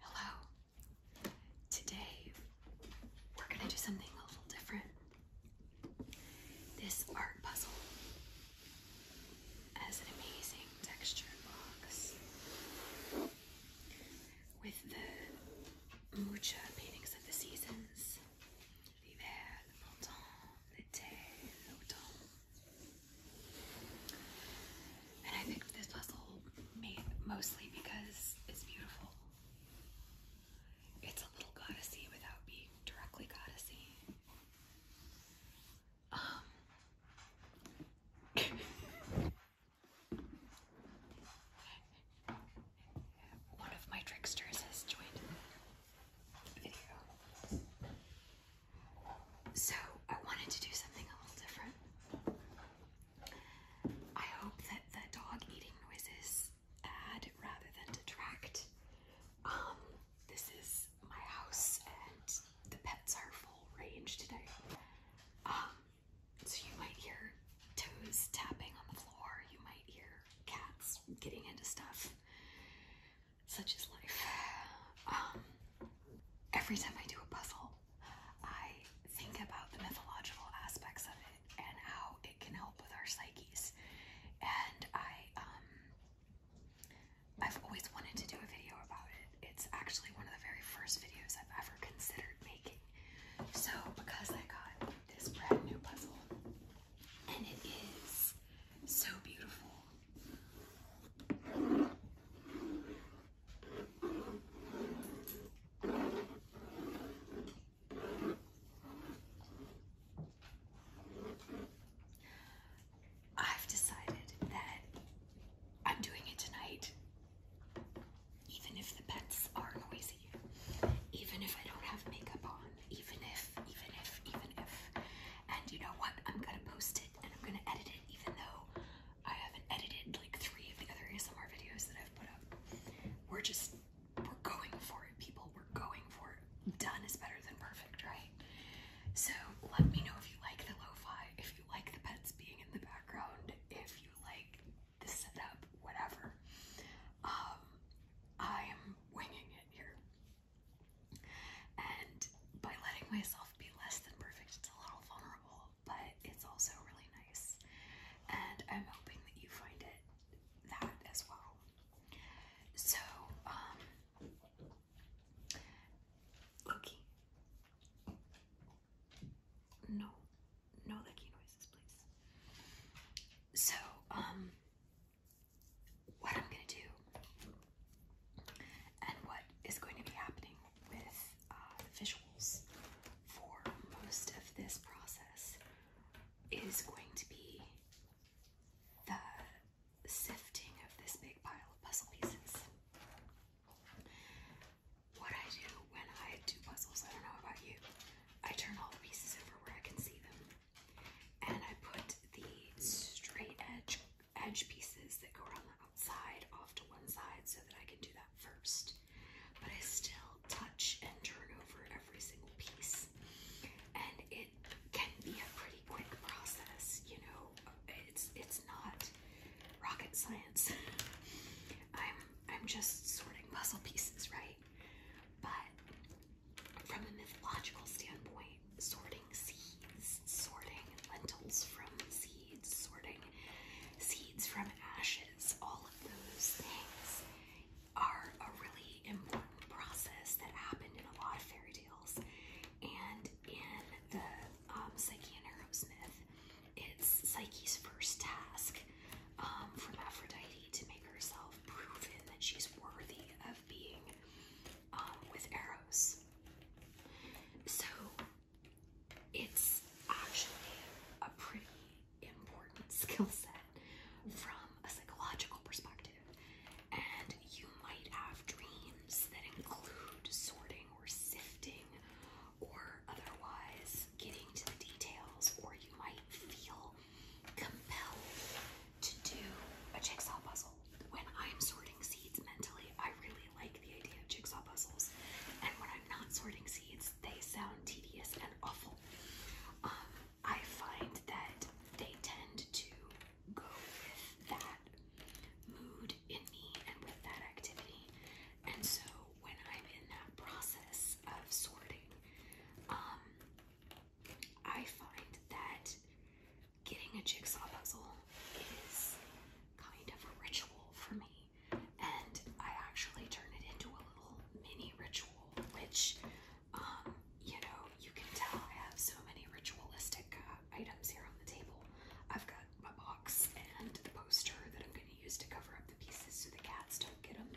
Hello. Today we're going to do something a little different. This art puzzle has an amazing textured with the mucha paintings of the seasons. And I think this puzzle made mostly because it's beautiful. It's a little goddessy without being directly goddessy. Um One of my tricksters has joined the video. So I wanted to do something a little different. I hope that the dog eating noises add rather than detract. Um, this is my house and the pets are full range today. Um, so you might hear toes tapping on the floor, you might hear cats getting into stuff. Such is life. Um, every time I do a puzzle, I think about the mythological aspects of it and how it can help with our psyches. And I, um, I've always wanted to do a video about it. It's actually one of the very first videos I've ever considered making. So, because I got this brand new puzzle, and it is so beautiful, I've decided that I'm doing it tonight, even if the pets are noisy, even if I don't have makeup on, even if, even if, even if. And you know what? I'm gonna post it and I'm gonna edit it even though I haven't edited like three of the other ASMR videos that I've put up. We're just, we're going for it, people. We're going for it. Done is better than perfect, right? So let me know if you like the lo-fi, if you like the pets being in the background, if you like the setup, whatever. Um, I'm winging it here. And by letting myself be less than perfect, it's a little vulnerable, but it's also really nice. And I'm hoping that you find it that as well. So, um, Loki. No, no Loki noises, please. So, um, what I'm gonna do and what is going to be happening with uh, the visuals for most of this process is going to be the sifting of this big pile of puzzle pieces. What I do when I do puzzles, I don't know about you, I turn all the pieces over where I can see them and I put the straight edge edge pieces that go on the outside off to one side so that I can do that first. But I still touch and turn over every single piece. And it can be a pretty quick process, you know. It's it's not rocket science. I'm I'm just sorting puzzle pieces, right? But from a mythological standpoint, sorting seeds, sorting lentils from seeds, sorting seeds from ashes, all of those things are a really important process that happened in a lot of fairy tales. And in the um, Psyche and Aerosmith, it's Psyche's first task um, from Aphrodite to make herself proven that she's worthy of being um, with arrows. So it's actually a pretty important skill set from a psychological perspective, and you might have dreams that include sorting or sifting or otherwise getting to the details, or you might feel compelled to do a jigsaw puzzle when I'm sorting seeds mentally, I really like the idea of jigsaw puzzles. And when I'm not sorting seeds, they sound tedious and awful. Um, I find that they tend to go with that mood in me and with that activity. And so when I'm in that process of sorting, um, I find that getting a jigsaw puzzle is kind of a ritual for me, and I actually turn it into a little mini ritual, which, um, you know, you can tell I have so many ritualistic uh, items here on the table. I've got my box and the poster that I'm going to use to cover up the pieces so the cats don't get them.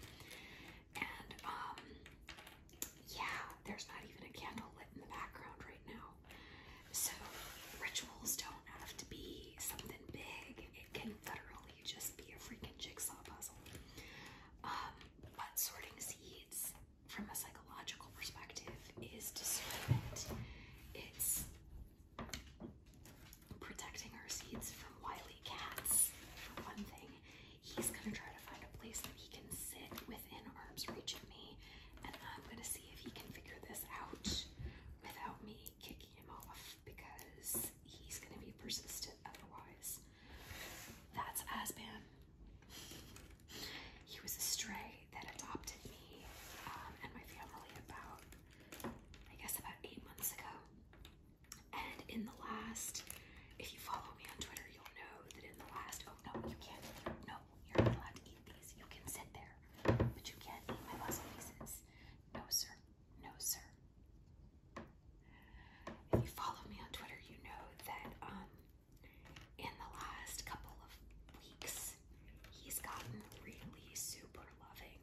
And, um, yeah, there's not even a candle lit in the background right now. So rituals don't have to be something big. It can literally just be a freaking jigsaw puzzle. Um, but sorting seeds from a psychological perspective is discernment. It's protecting our seeds from wily cats, for one thing. He's gonna try to find a place that he can sit within arm's reach of me and I'm gonna see if he can figure this out without me kicking him off because he's gonna be persistent otherwise. That's Asban. He was a stray that adopted me um, and my family about, I guess, about eight months ago. And in the last, if you follow me on Twitter, you'll know that in the last, oh no, you can't, no, you're not allowed to eat these. You can sit there, but you can't eat my puzzle pieces. No, sir. No, sir. If you follow me on Twitter, you know that um, in the last couple of weeks, he's gotten really super loving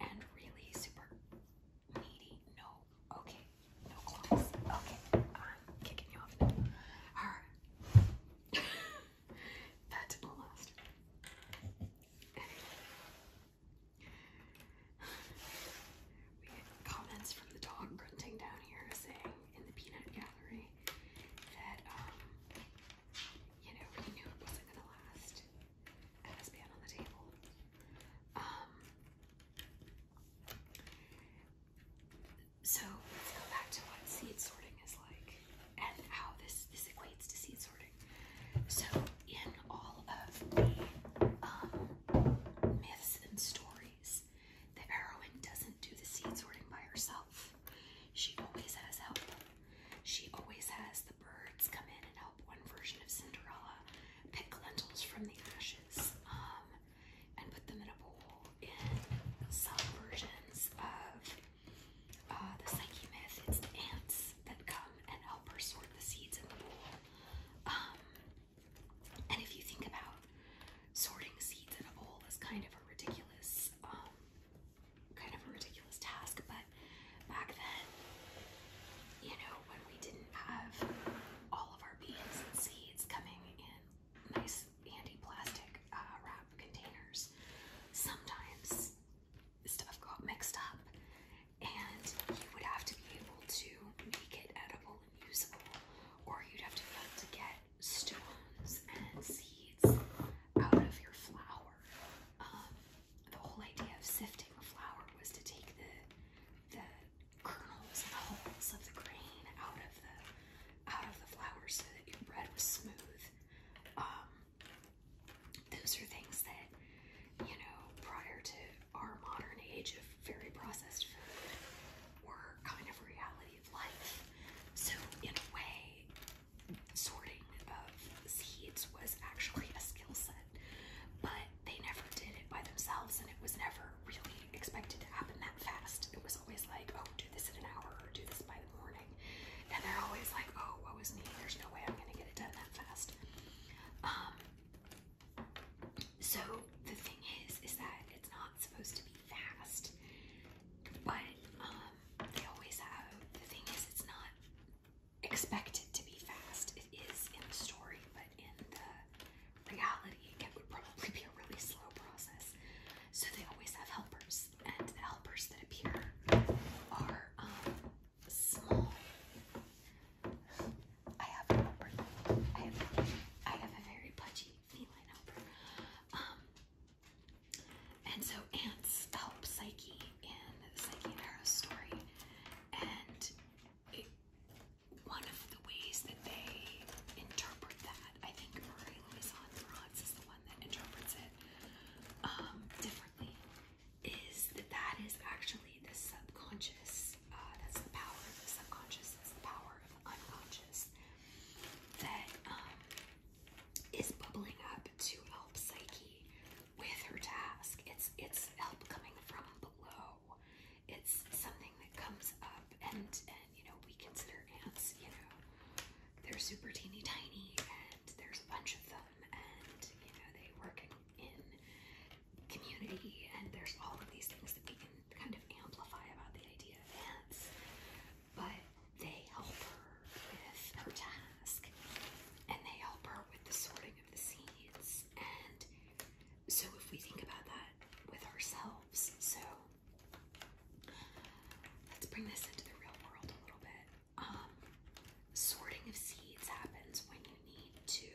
and really super needy. No, okay, no claws. Okay, kicking you off now. that didn't last. we get comments from the dog grunting down here saying in the peanut gallery that, um, you know, we knew it wasn't gonna last. And has been on the table. Um, so let's go back to what seed sorting is like and how this, this equates to seed sorting. So in all of the um, myths and stories, the heroine doesn't do the seed sorting by herself. She always has help. She always has the birds come in and help. One version of Cinderella pick lentils from the ashes. Um, and put them in a bowl in some versions of uh, the Psyche myth. It's the ants that come and help her sort the seeds in the bowl. Um, and if you think about sorting seeds in a bowl is kind of a ridiculous, um, kind of a ridiculous task, but back then, you know, when we didn't have all of our beans and seeds coming in nice handy plastic uh, wrap containers. Sometimes stuff got mixed up, and you would have to be able to make it edible and usable, or you'd have to be to get stones and seeds out of your flour. Um, the whole idea of sifting flour was to take the the kernels and holes of the grain out of the out of the flour so that your bread was smooth. Um, those are things that, you know, prior to our modern age of very processed food were kind of reality of life. So, in a way, sorting of seeds was actually a skill set, but they never did it by themselves, and it was never really expected to happen that fast. It was always like, oh, do this in an hour, or do this by morning. And they're always like, oh, woe is me. There's no way I'm going to get it done that fast. Um, so the thing is, is that it's not supposed to be fast. But um, they always have, the thing is, it's not expected to be fast. It is in the story, but in the reality, it would probably be a really slow process. So they always have helpers and the helpers that appear are um, small. I have a very pudgy feline helper. Um, and so ants help Psyche in the Psyche and Harrow's story, and it, one of the ways that they interpret that I think Marie Louise Alonso is the one that interprets it um, differently. Is that that is actually the subconscious? Uh, that's the power of the subconscious. That's the power of the unconscious that um, bubbling up to help Psyche with her task. It's it's help coming from below. It's something that comes up, and and you know we consider ants, you know, they're super teeny tiny, and there's a bunch of them, and you know they work in, community, and there's all of these things that we can kind of amplify about the idea of ants. But they help her with her task, and they help her with the sorting of the seeds, and so if we think about that with ourselves, so Let's bring this into the real world a little bit. Um, sorting of seeds happens when you need to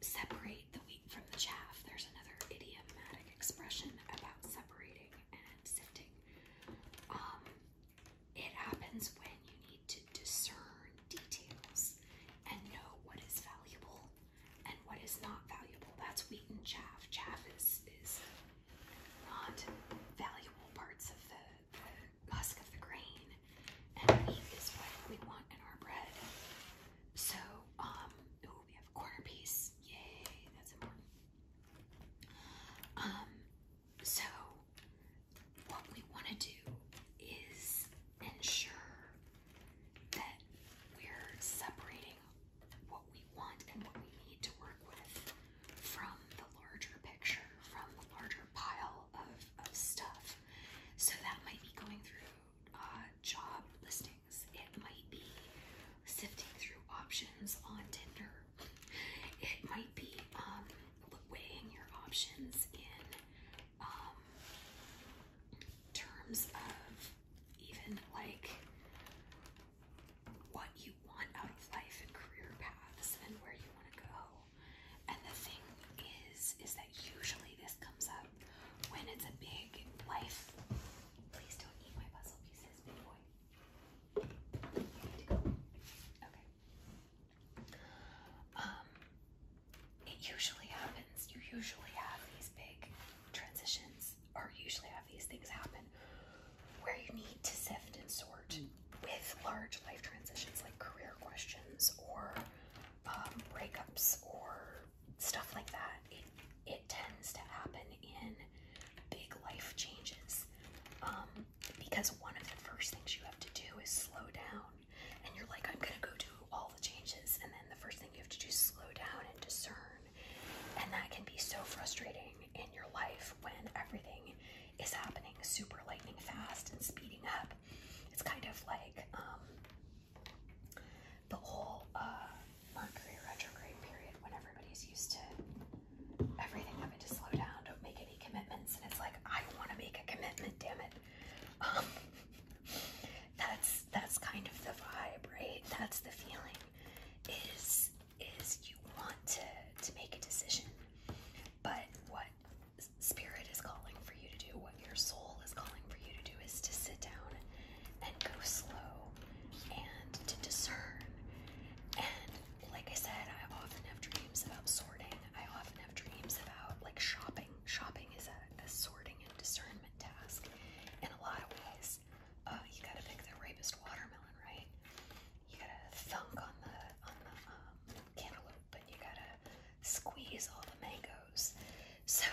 separate the wheat from the chaff. There's another idiomatic expression about separating and sifting. Um, it happens when you need to discern details and know what is valuable and what is not valuable. That's wheat and chaff. Chaff is, is not valuable parts of the, husk of the grain, and wheat is what we want in our bread. So, um, ooh, we have a quarter piece. Yay, that's important. Um, so what we want to do is ensure that we're separating what we want and what we need to work with from the larger picture, from the larger pile of, stuff. So that might be going through uh, job listings, it might be sifting through options on Tinder, it might be um, weighing your options in um, terms of even like what you want out of life and career paths and where you want to go. And the thing is, is that usually this comes up when it's a big life. Please don't eat my puzzle pieces, big boy. Okay. Um, it usually happens. You usually have these big transitions are usually have these things happen, where you need to sift and sort with large life transitions like career questions or um, breakups or stuff like that. It, it tends to happen in big life changes um, because one of the first things you have to do is slow down. And you're like, I'm going to go do all the changes. And then the first thing you have to do is slow down and discern and that can be so frustrating in your life when everything is happening super lightning fast and speeding up. It's kind of like um, the whole uh, Mercury retrograde period when everybody's used to everything having to slow down, don't make any commitments, and it's like I want to make a commitment, damn it. Um, that's that's kind of the vibe, right? That's the feeling. Is is you want to to make a decision, but what spirit is calling for you to do, what your soul is calling for you to do, is to sit down and go slow and to discern. And like I said, I often have dreams about sorting. I often have dreams about like shopping. Shopping is a, a sorting and discernment task in a lot of ways. Oh, you gotta pick the ripest watermelon, right? You gotta thunk on the on the um, cantaloupe, but you gotta squeeze all the mangoes. So,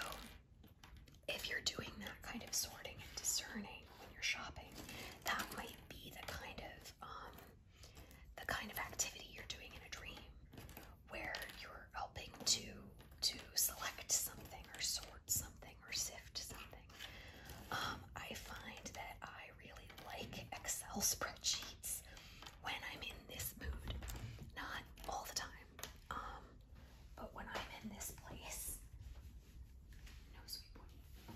if you're doing that kind of sorting and discerning when you're shopping, that might be the kind of um, the kind of activity you're doing in a dream, where you're helping to to select something or sort something or sift something. Um, I find that I really like Excel spreadsheets when I'm in this mood. Not all the time, um, but when I'm in this place.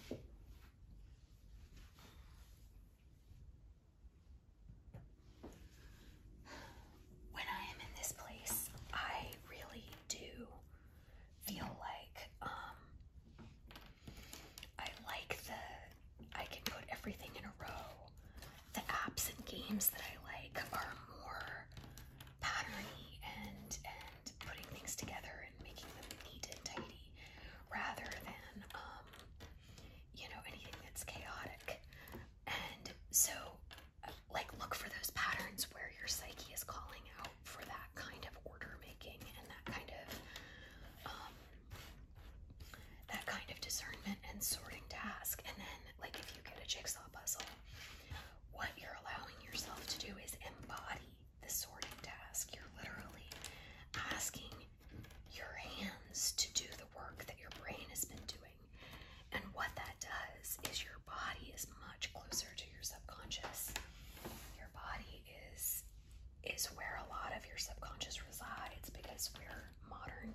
When I am in this place, I really do feel like um I like the I can put everything in a row. The apps and games that I like are more patterny and and putting things together and making them neat and tidy rather than um you know anything that's chaotic. And so uh, like look for those patterns where your psyche is calling out for that kind of order making and that kind of um, that kind of discernment and sorting task. And then, like if you get a jigsaw puzzle, what you're allowing yourself to do is embody the sorting task. You're literally asking your hands to do the work that your brain has been doing. And what that does is your your body is much closer to your subconscious. Your body is is where a lot of your subconscious resides because we're modern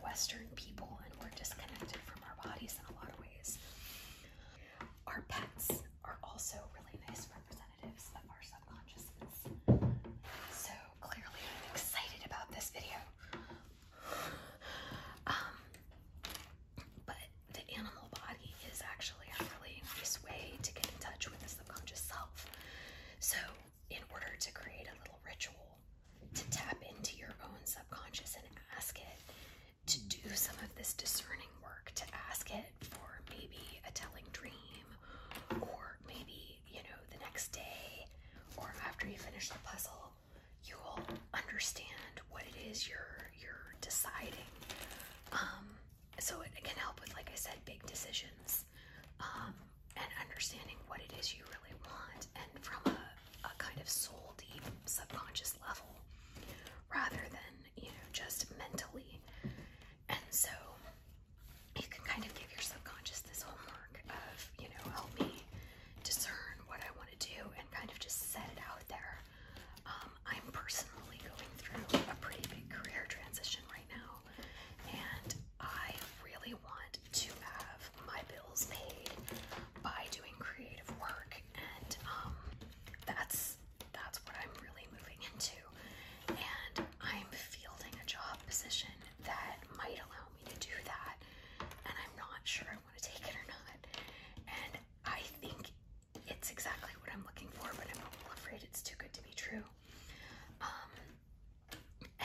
Western people and we're disconnected from our bodies in a lot of ways. Our pets are also really nice representatives of our subconsciousness. So clearly I'm excited about this video. Um, but the animal body is actually a really nice way to get in touch with the subconscious self. So, in order to create a little ritual to tap into your own subconscious and ask it to do some of this discerning work, to ask it for maybe a telling dream, or maybe, you know, the next day, or after you finish the puzzle, you will understand what it is you're you're deciding. Um, so it can help with, like I said, big decisions um, and understanding what it is you really want, and from a, a kind of soul deep subconscious level, rather than you know just mentally. And so you can kind of give your subconscious this homework of you know help me discern what I want to do and kind of just set it out there um, I'm personally going through a pretty big career transition right now, and I really want to have my bills paid by doing creative work, and um, that's that's what I'm really moving into. And I'm fielding a job position that might allow me to do that, and I'm not sure I want to take it or not. And I think it's exactly what I'm looking for, but I'm a little afraid it's too good to be true. Um,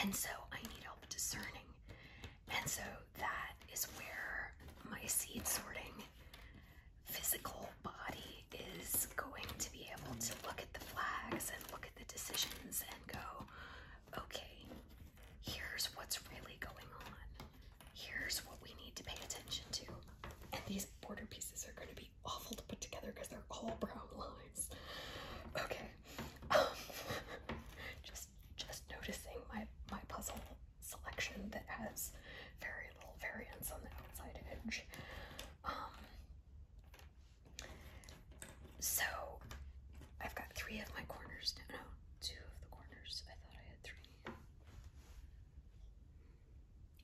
and so I need help discerning. And so that is where my seed sorting physical body is going to be able to look at the flags and look at the decisions and go, okay, here's what's really going on here's what we need to pay attention to. And these border pieces are going to be awful to put together because they're all brown lines. Okay, um, just just noticing my my puzzle selection that has very little variance on the outside edge. Um, so I've got three of my corners. No, two of the corners. I thought I had three.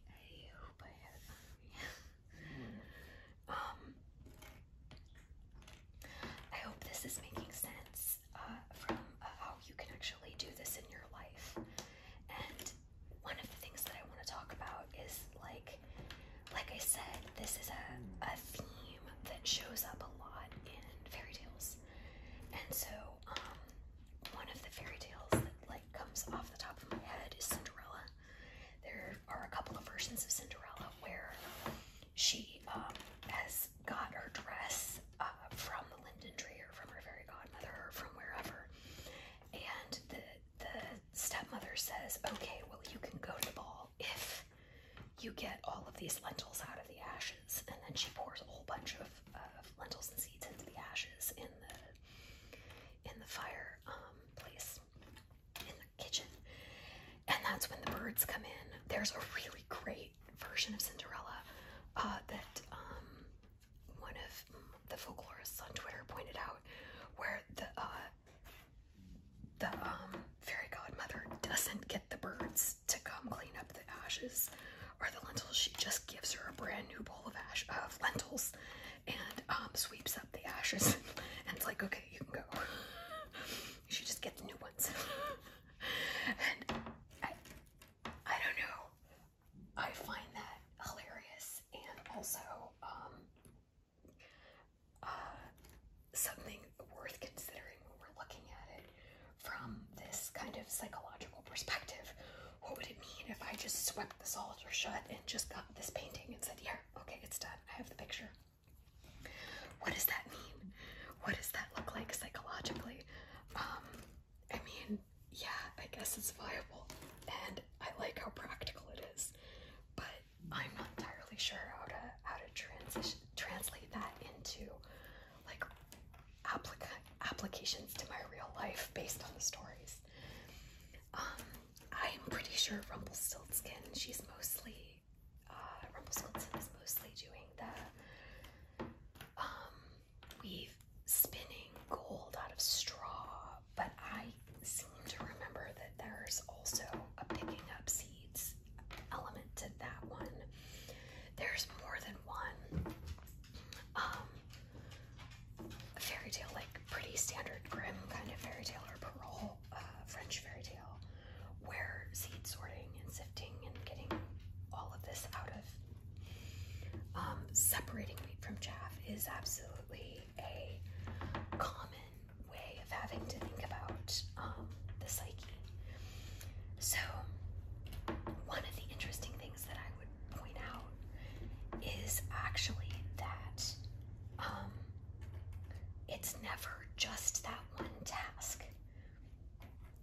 I hope I have um, I hope this is making sense uh, from uh, how you can actually do this in your life. And one of the things that I want to talk about is like, like I said, this is a, a theme that shows up a lot in fairy tales. And so, um, one of the fairy tales that like comes off the top of my head is Cinderella. There are a couple of versions of Cinderella where she um, has got her dress uh, from the linden tree or from her fairy godmother or from wherever, and the the stepmother says, "Okay, well you can go to the ball if." You get all of these lentils out of the ashes, and then she pours a whole bunch of of lentils and seeds into the ashes in the in the fire um, place in the kitchen, and that's when the birds come in. There's a really great version of Cinderella uh, that um, one of the folklorists on Twitter pointed out, where the uh, the um, fairy godmother doesn't get the birds to come clean up the ashes or the lentils, she just gives her a brand new bowl of ash of lentils and um, sweeps up the ashes and it's like, okay, you can go. you should just get the new ones. and I, don't know. I find that hilarious and also um, uh, something worth considering when we're looking at it from this kind of psychological perspective. What would it mean if I just swept this altar shut and just got this painting and said, "Yeah, okay, it's done. I have the picture. What does that mean? What does that look like psychologically? Um, I mean, yeah, I guess it's viable, and I like how practical it is, but I'm not entirely sure how to how to transition translate that into like applica applications to my real life based on the stories. Um, I am pretty sure Rumpelstiltskin. She's mostly uh, Rumpelstiltskin is mostly doing the um weave spinning gold out of straw, but I seem to remember that there's also a picking up seeds element to that one. There's more than one. Um, a fairy tale, like pretty standard grim kind of fairy tale or parole uh, French fairy tale, where seed sorting and sifting and getting all of this out of um, separating wheat from chaff is absolutely a common way of having to think about um, the psyche. So, one of the interesting things that I would point out is actually that um, it's never just that one task.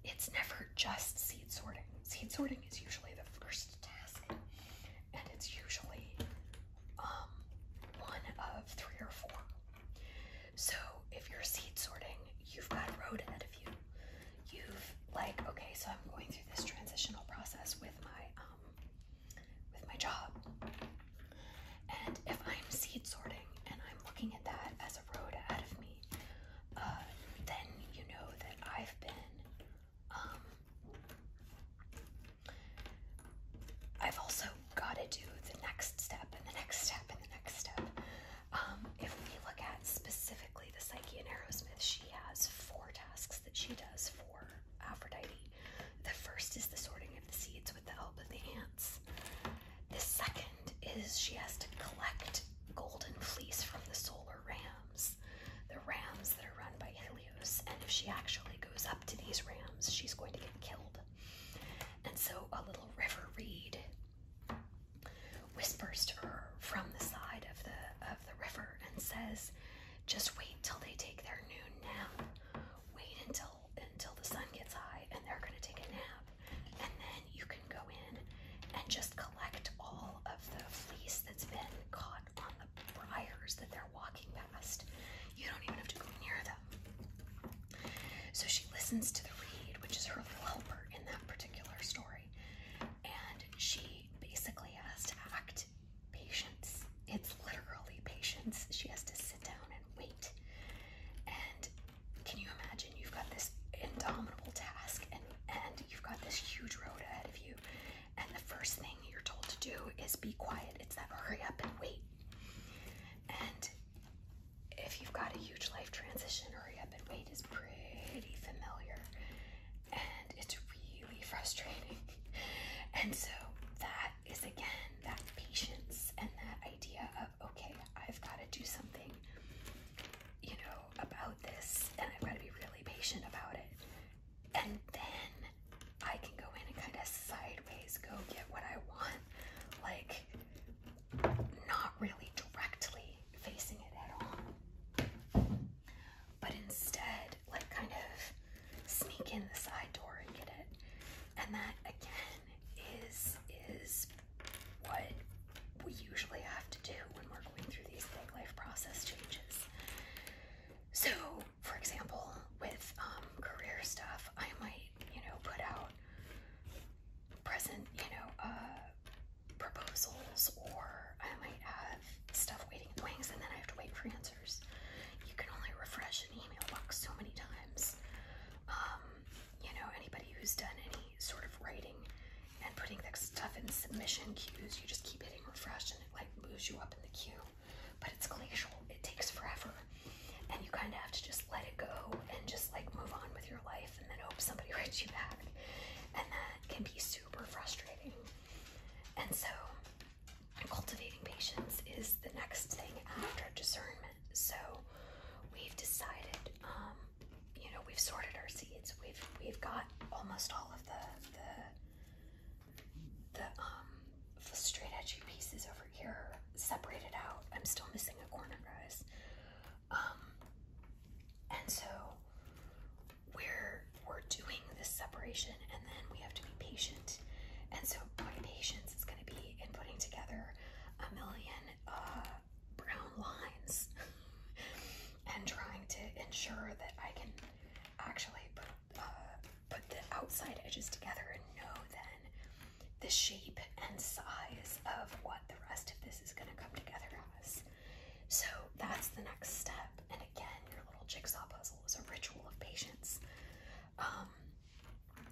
It's never just seed sorting. Seed sorting is usually the first task, and it's usually um, one of three or four. So if you're seed sorting, you've got a road ahead of you you've like okay so i'm going through this transitional process with my um with my job and if i'm seed sorting and i'm looking at that as a road out of me uh then you know that i've been um i've also got to do the next step and the next step and the next step um if we look at specifically the Psyche and Aerosmith. She has four tasks that she does for Aphrodite. The first is the sorting of the seeds with the help of the ants. The second is she has to collect golden fleece from the solar rams, the rams that are run by Helios. And if she actually goes up to these rams, she's going to get killed. And so a little river reed whispers to her from the side of the of the river and says, "Just wait till they take their noon nap. Wait until until the sun gets high and they're gonna take a nap, and then you can go in and just collect all of the fleece that's been caught on the briers that they're walking past. You don't even have to go near them." So she listens to the reed, which is her little helper in that particular story, and she basically has to act patience. It's literally patience. She has to sit down and wait. And can you imagine? You've got this indomitable task, and and you've got this huge road ahead of you. And the first thing you're told to do is be quiet. It's that hurry up and wait. And if you've got a huge life transition, hurry up and wait is pretty familiar and it's really frustrating. And so that is again that patience and that idea of okay, I've got to do something, you know, about this, and I've got to be really patient about it. And then I can go in and kind of sideways go get what I want, like not really directly facing it at all but instead, like, kind of sneak in the side door and get it. And that again is is what we usually have to do when we're going through these big life process changes. So, for example, with um, career stuff, I might, you know, put out present, you know, uh, proposals or I might have stuff waiting in the wings and then I have to wait for answers. You can only refresh an email box so many times. Um, you know, anybody who's done any sort of writing and putting that stuff in submission queues, you just keep hitting refresh and it like moves you up in the queue. But it's glacial, it takes forever. And you kind of have to just let it go and just like move on with your life and then hope somebody writes you back. And that can be super frustrating. And so, cultivating patience is the next thing after discernment. So, we've decided, um, you know, we've sorted our seeds. We've we've got almost all of the the the um, straight edgy pieces over here separated out. I'm still missing a corner, guys. Um, and so where we're doing this separation and then we have to be patient. And so my patience is going to be in putting together a million uh, brown lines and trying to ensure that I can actually put, uh, put the outside edges together and know then the shape and size of what the rest of this is going to come together as. So that's the next step. And again, your little jigsaw puzzle is a ritual of patience. Um,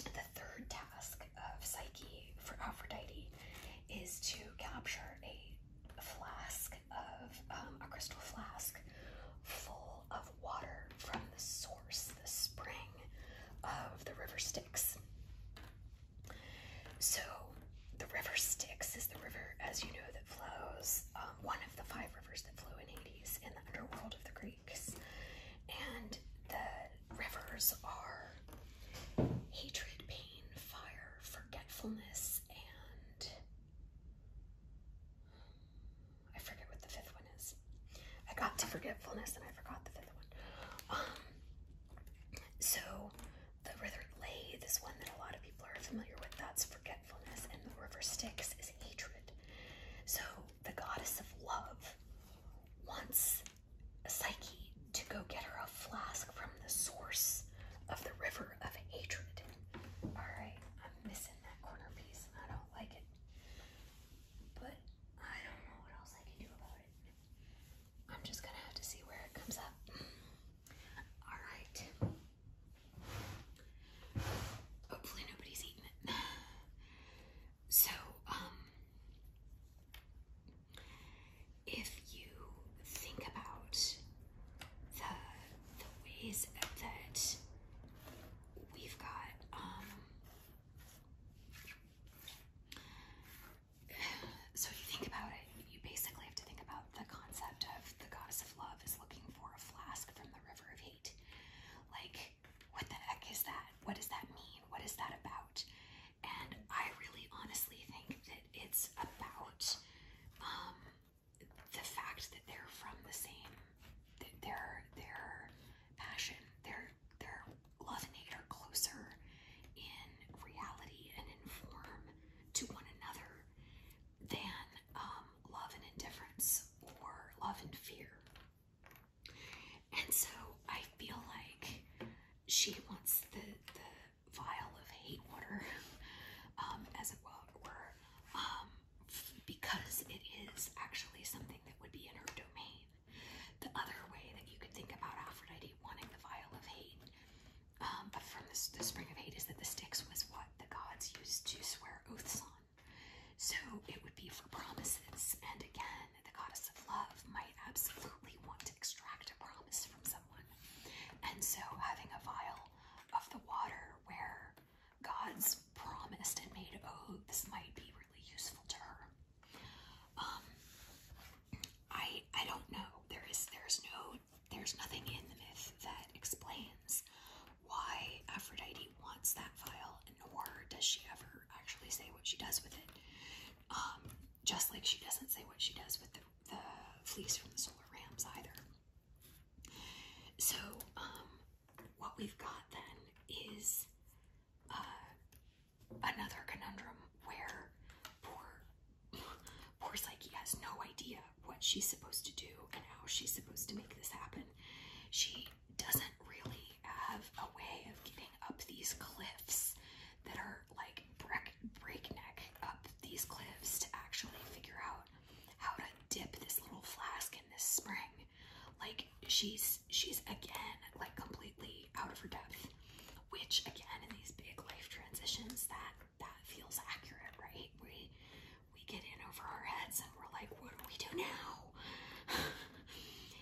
the third task of Psyche for Aphrodite is to capture a flask of um, a crystal flask full of water from the source, the spring of the river Styx. So, the river Styx is the river, as you know, flows, um, one of the five rivers that flow in Hades in the underworld of the Greeks. And the rivers are hatred, pain, fire, forgetfulness, and I forget what the fifth one is. I got to forgetfulness and I forgot the fifth one. Um, so the river blade is one that a lot of people are familiar with. That's forgetfulness, and the river Styx is hatred. So the goddess of love wants Psyche to go get her a flask from the source of the river of hatred. Alright, I'm missing that corner piece and I don't like it. But I don't know what else I can do about it. I'm just gonna have to see where it comes up. Alright. Hopefully nobody's eaten it. So, um, if you think about the the ways that we've got um, so if you think about it, you basically have to think about the concept of the goddess of love is looking for a flask from the river of hate. Like, what the heck is that? What does that mean? What is that about? And I really honestly think that it's about um, the fact that they're from the same, that their their passion, their their love and hate are closer in reality and in form to one another than um, love and indifference or love and fear. And so I feel like she wants the, the vial of hate water, um, as it were, um, because it is actually something that would be in her domain. The other way that you could think about Aphrodite wanting the vial of hate um, but from the Spring of hate is that the sticks was what the gods used to swear oaths on. So it would be for promises. And again, the goddess of love might absolutely want to extract a promise from someone. And so having a vial of the water where gods promised and made oaths might be really useful to her. Um, I I don't know. There is there's no there's nothing in the myth that explains why Aphrodite wants that vial, nor does she ever actually say what she does with it. Um, just like she doesn't say what she does with the, fleece from the solar rams either. So, um, what we've got then is uh, another conundrum where Poor Psyche has no idea what she's supposed to do and how she's supposed to make this happen. She doesn't really have a way of getting up these cliffs that are like break breakneck up these cliffs to actually figure out how to dip this little flask in this spring. Like she's she's again like completely out of her depth, which again in these big life transitions that that feels accurate, right? We we get in over our heads and we're like, what do we do now?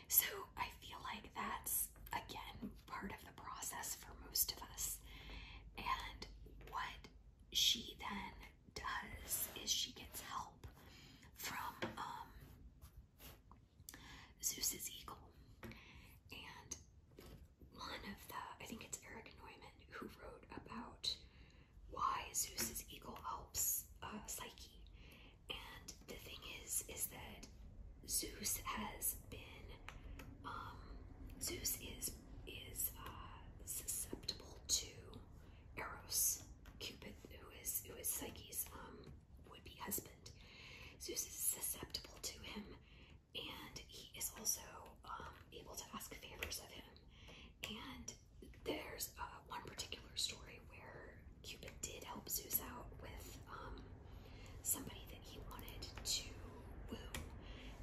so I feel like that's again part of the process for most of us. And what she then does is she gets help from um Zeus's eagle. And one of the, I think it's Eric Neumann, who wrote about why Zeus's eagle helps uh, Psyche. And the thing is, is that Zeus has been, um, Zeus is is uh, susceptible to Eros, Cupid, who is who is Psyche's um, would-be husband. Zeus is susceptible to him, and he is also um, able to ask favors of him. And there's uh, one particular story where Cupid did help Zeus out with um, somebody that he wanted to woo,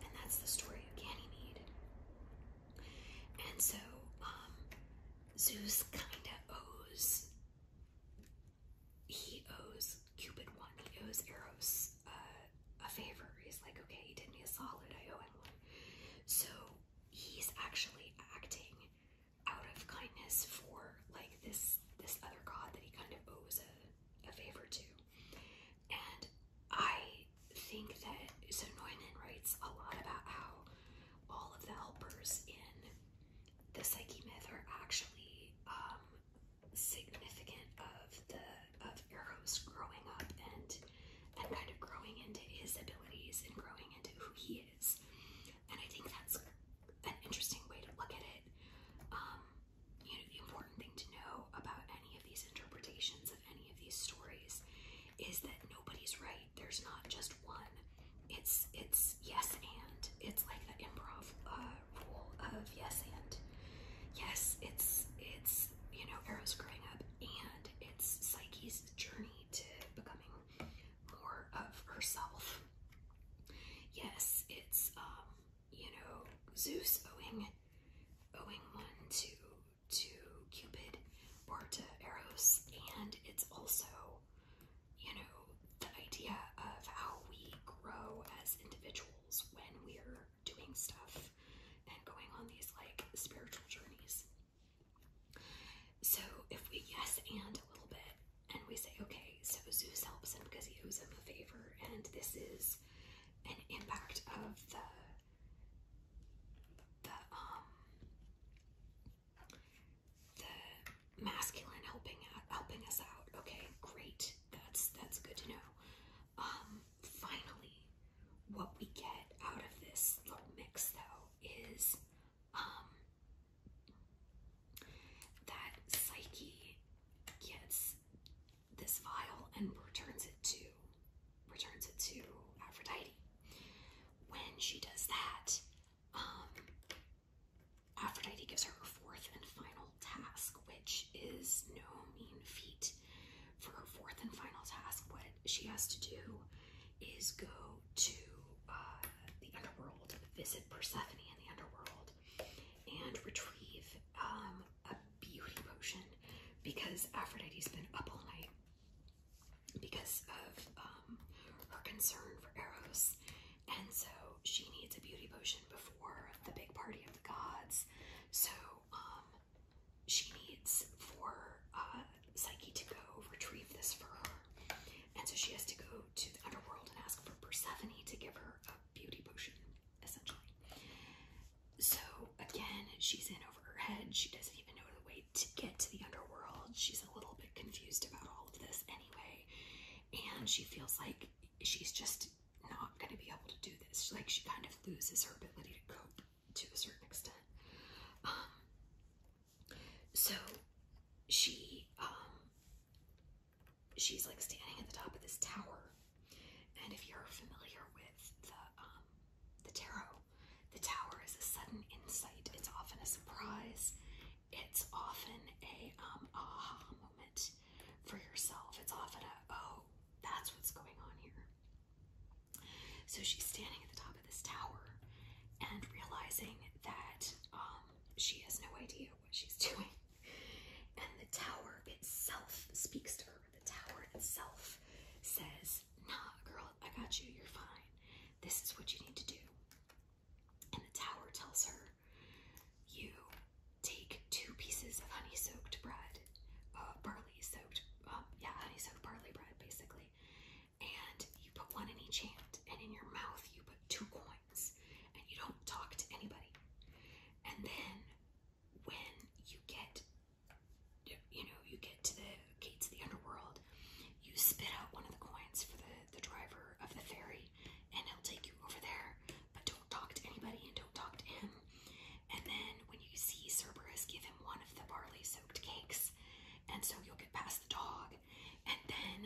and that's the story of Ganymede. And so um, Zeus kind of owes. He owes Cupid one. He owes Eros uh, a favor. He's like, okay, he did me a solid. I owe him one. So he's actually acting out of kindness for like this this other god that he kind of owes a, a favor to. And I think that so Neumann writes a lot about how all of the helpers in the psyche myth are actually um, significant of the of Eros growing up and and kind of growing into his abilities and growing into who he is. And I think that's an interesting way to look at it. Um, you know, the important thing to know about any of these interpretations of any of these stories is that nobody's right. There's not just one. It's it's yes and. It's like the improv uh, rule of yes and. Yes, it's it's you know, Eros growing up and it's Psyche's journey to becoming more of herself. Yes, it's, um, you know, Zeus owing, owing one to, to Cupid or to Eros, and it's also, you know, the idea of how we grow as individuals when we're doing stuff and going on these like spiritual journeys. So if we yes and a little bit and we say, okay, so Zeus helps him because he owes him a favor, and this is an impact of the the um the masculine helping out helping us out. Okay, great. That's that's good to know. Um, finally, what we get out of this little mix though is um, that Psyche gets this vial and returns it to returns it to Aphrodite. When she does that, um, Aphrodite gives her her fourth and final task, which is no mean feat for her fourth and final task, what she has to do is go to uh, the underworld, visit Persephone in the underworld, and retrieve um, a beauty potion because Aphrodite's been up all night because of um, her concern for Eros, and so she needs a beauty potion before the big party of the gods. So um, she needs for uh, Psyche to go retrieve this for her. And so she has to go to the underworld and ask for Persephone to give her a beauty potion, essentially. So again, she's in over her head. She doesn't even know the way to get to the underworld. She's a little bit confused about all of this anyway. And she feels like she's just not going to be able to do this. like she kind of loses her ability to cope to a certain extent. Um, so she um, she's like standing at the top of this tower, and if you're familiar with the um, the tarot, the tower is a sudden insight. It's often a surprise. It's often a um, aha moment for yourself. It's often a oh. That's what's going on here. So she's standing at the top of this tower and realizing that um, she has no idea what she's doing. And the tower itself speaks to her. The tower itself says, Nah, girl, I got you. You're fine. This is what you need to do. And the tower tells her, You take two pieces of honey soaked bread, uh, barley soaked, um, yeah, honey soaked barley bread basically. And you put one in each hand, and in your mouth you put two coins, and you don't talk to anybody. And then when you get, you know, you get to the gates of the underworld, you spit out one of the coins for the the driver of the ferry, and he'll take you over there. But don't talk to anybody, and don't talk to him. And then when you see Cerberus, give him one of the barley soaked cakes. And so you'll get past the dog. And then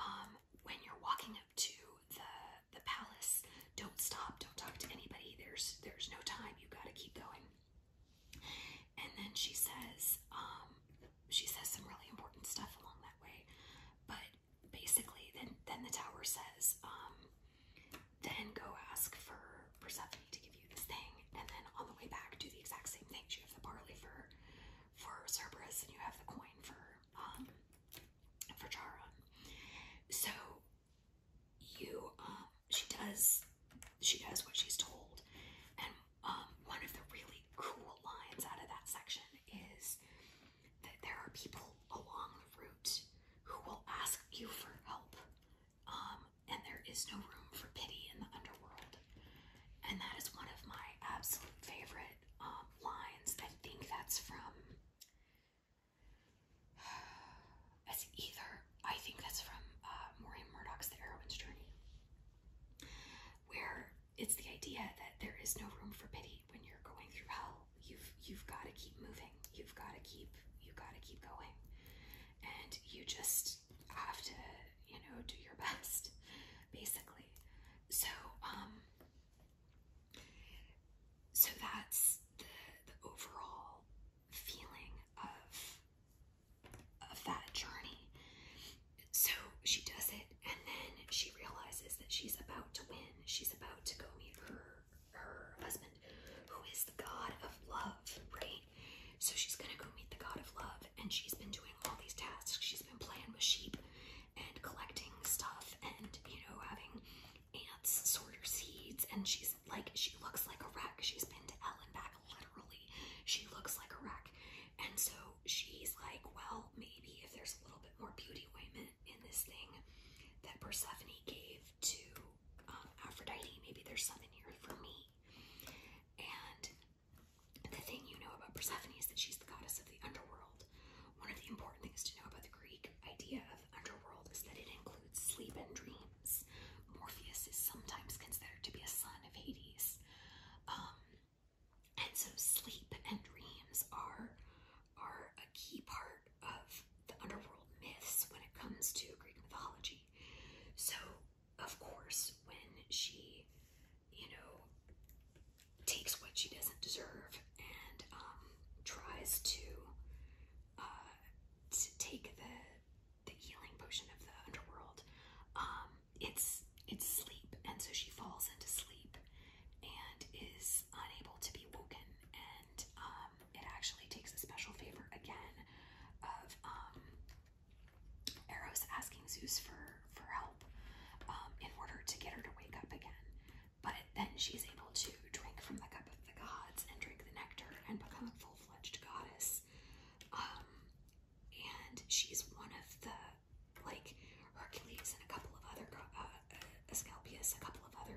um, when you're walking up to the the palace, don't stop, don't talk to anybody. There's there's no time. You gotta keep going. And then she says, um, she says some really important stuff along that way. But basically, then then the tower says, um, then go ask for Persephone to give you this thing, and then on the way back, do the exact same thing. You have the barley for for Cerberus, and you have the coin for um, for Charon. So you um, she does she does what she's told, and um, one of the really cool lines out of that section is that there are people along the route who will ask you for help um, and there is no room for pity in the underworld. And that is one of my absolute favorite um, lines. I think that's from. as either. I think that's from uh, Maureen Murdoch's *The Heroine's Journey*, where it's the idea that there is no room for pity when you're going through hell, you've you've got to keep moving. You've got to keep you have got to keep going, and you just have to you know do your best, basically. So um, so that's the the overall feeling of of that journey. So she does it, and then she realizes that she's about to win. She's about to go meet her her husband, who is the god of love, right? So she's gonna go meet the god of love, and she's been doing all these tasks. She's been playing with sheep and collecting stuff, and you know, having ants sort her seeds. And she's like, she looks like a wreck. She's been to Ellen back literally. She looks like a wreck, and so she's like, well, maybe if there's a little bit more beauty ointment in this thing that Persephone gave to um, Aphrodite. Maybe there's something here for me. And the thing you know about Persephone is that she's the goddess of the underworld. One of the important things to know about the Greek idea of underworld is that it includes sleep and dreams. Morpheus is sometimes considered to be a son of Hades. Um, and so sleep and dreams are are a key part of the underworld myths when it comes to Greek mythology. So, of course, when she, you know, takes what she doesn't deserve and um, tries uh, to, take the the healing potion of the underworld, um, it's it's sleep, and so she falls into sleep and is unable to be woken, and um, it actually takes a special favor again of um, Eros asking Zeus for for help um, in order to get her to wake up again. But then she's able to drink from the cup of the gods and drink the nectar and become a full fledged goddess. Um, and she's one of the like Hercules and a couple of other uh, a couple of other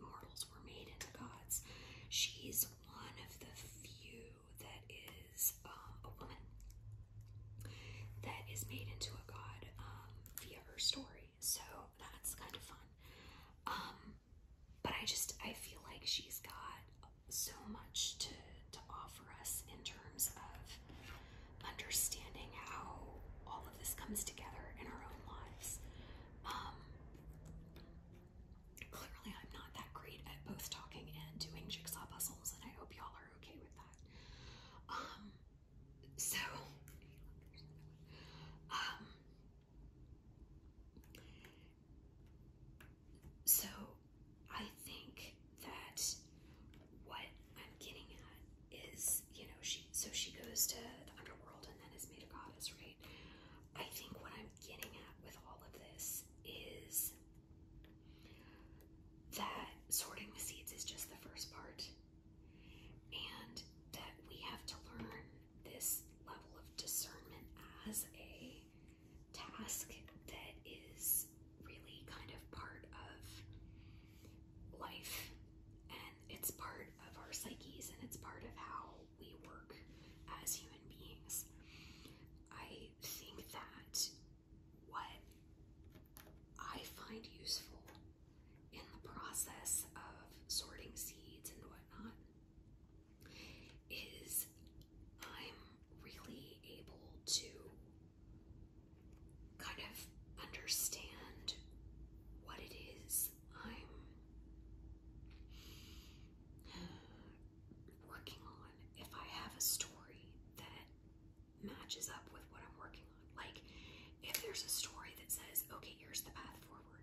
mortals were made into gods. She's one of the few that is um, a woman that is made into a god um, via her story. So that's kind of fun. Um, but I just I feel like she's got so much to to offer us in terms of understanding how all of this comes together in our own lives. Clearly, I'm not that great at both talking and doing jigsaw puzzles, and I hope y'all are okay with that. Um, so, um, so I think that what I'm getting at is, you know, she so she goes to the underworld and then is made a goddess, right? I think what I'm getting at with all of this is that sorting the seeds is just the first part, and that we have to learn this level of discernment as a task that is really kind of part of life and it's part of our psyches and it's part of how we work as human beings. I think that what I find useful in the process of sorting seeds and whatnot is I'm really able to kind of understand what it is I'm working on if I have a story that matches up with what I'm working on. Like, if there's a story that says, okay, here's the path forward.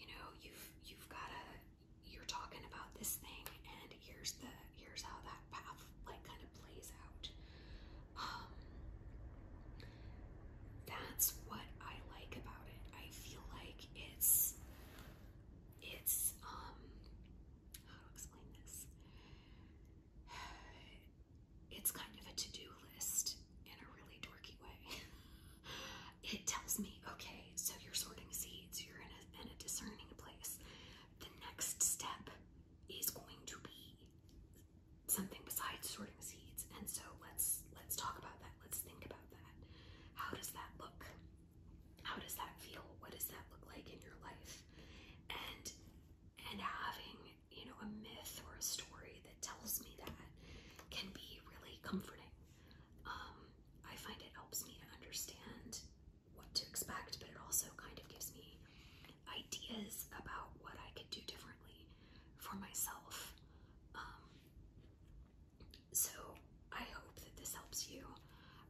You know, you've you've got a you're talking about this thing and here's the here's how that path like kind of plays out. Um, that's what I like about it. I feel like it's it's um how to explain this. It's kind of a to-do list in a really dorky way. it tells me, okay, so you're sorting seeds, you're in a, in a discerning place. The next step is going to be something besides sorting seeds. And so let's let's talk about that that. Let's think about that. How does that look? How does that feel? What does that look like in your life? And and having, you know, a myth or a story that tells me that can be really comforting. Um, I find it helps me to understand what to expect, but it also kind of gives me ideas about what I could do differently for myself. Um, so I hope that this helps you.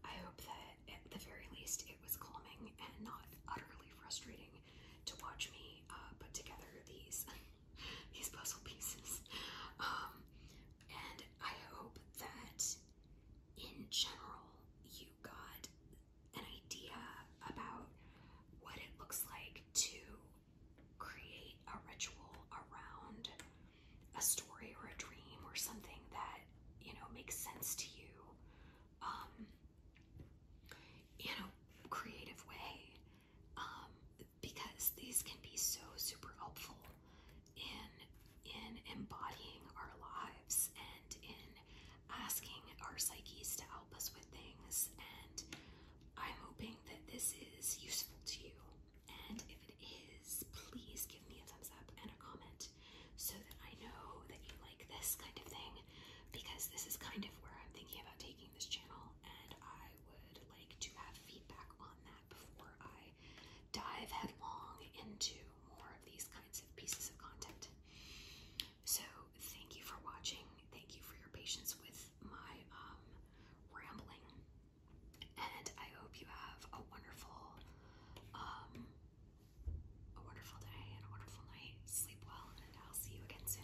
I hope that at the very least it was calming and not utterly frustrating to watch me uh, put together these these puzzle pieces. Um, and I hope that in general you got an idea about what it looks like to create a ritual around a story or a dream or something that you know makes sense to you um, in a creative way um, because these can be so super helpful in in embodying our lives and in asking our psyches to help us with things and I'm hoping that this is useful to you and if it is, please give me a thumbs up and a comment so that I know that you like this kind of thing because this is kind of where I'm thinking about taking this channel and I would like to have feedback on that before I dive headlong into more of these kinds of pieces of content. So, thank you for watching. Thank you for your patience with my um, rambling and I hope you have a wonderful, um, a wonderful day and a wonderful night. Sleep well, and I'll see you again soon.